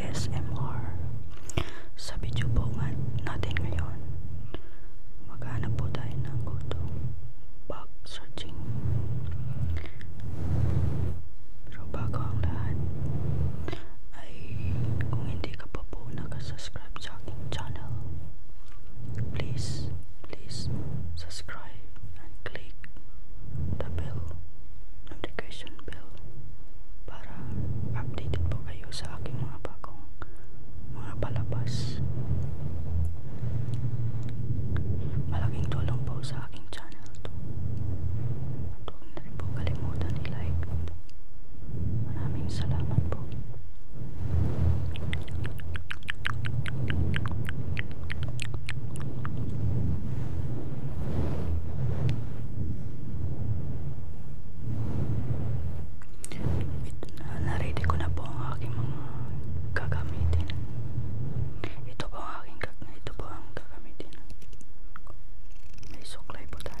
ASMR sa video po natin ngayon maghanap po tayo ng gutom bug searching pero bago ang lahat ay kung hindi ka pa po nakasubscribe sa aking channel please please subscribe and click the bell notification bell para updated po kayo sa aking mga bagong mga palabas malaking tulong po sa aking channel to at huwag na rin po kalimutan i-like maraming salamat po Naredy ko na po ang aking mga gagamitin. Ito po ang aking gagamitin. Ito po ang gagamitin. May suklay po tayo.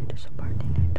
It is a subordinate. Thank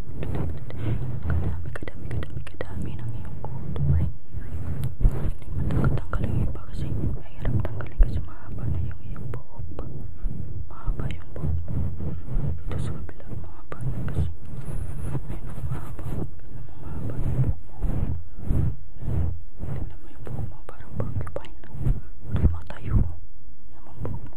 Kadami, kadami, kadami, kadami ng iyong kuto ay hindi matanggal-tanggal yung iba kasi mahirap tanggalin kasi mahaba na yung iyong buhok mahaba yung buhok dito sa kabila mahaba na kasi meron mahaba ganun mahaba yung buhok mo tignan mo yung buhok mo parang porcupine tumatayo yung buhok mo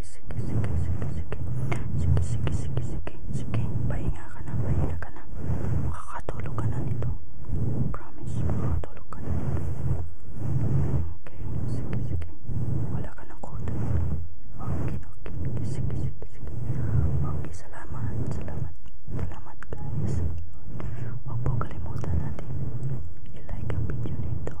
sige, sige, sige, sige, sige, sige, sige, sige, sige, sige, pahinga ka na, pahinga ka na, makakatulog ka na nito, promise, makakatulog ka na nito, okay, sige, sige, wala ka ng kuta, okay, okay, sige, sige, sige, sige, okay, salamat, salamat, salamat guys, huwag po kalimutan natin, i-like ang video nito,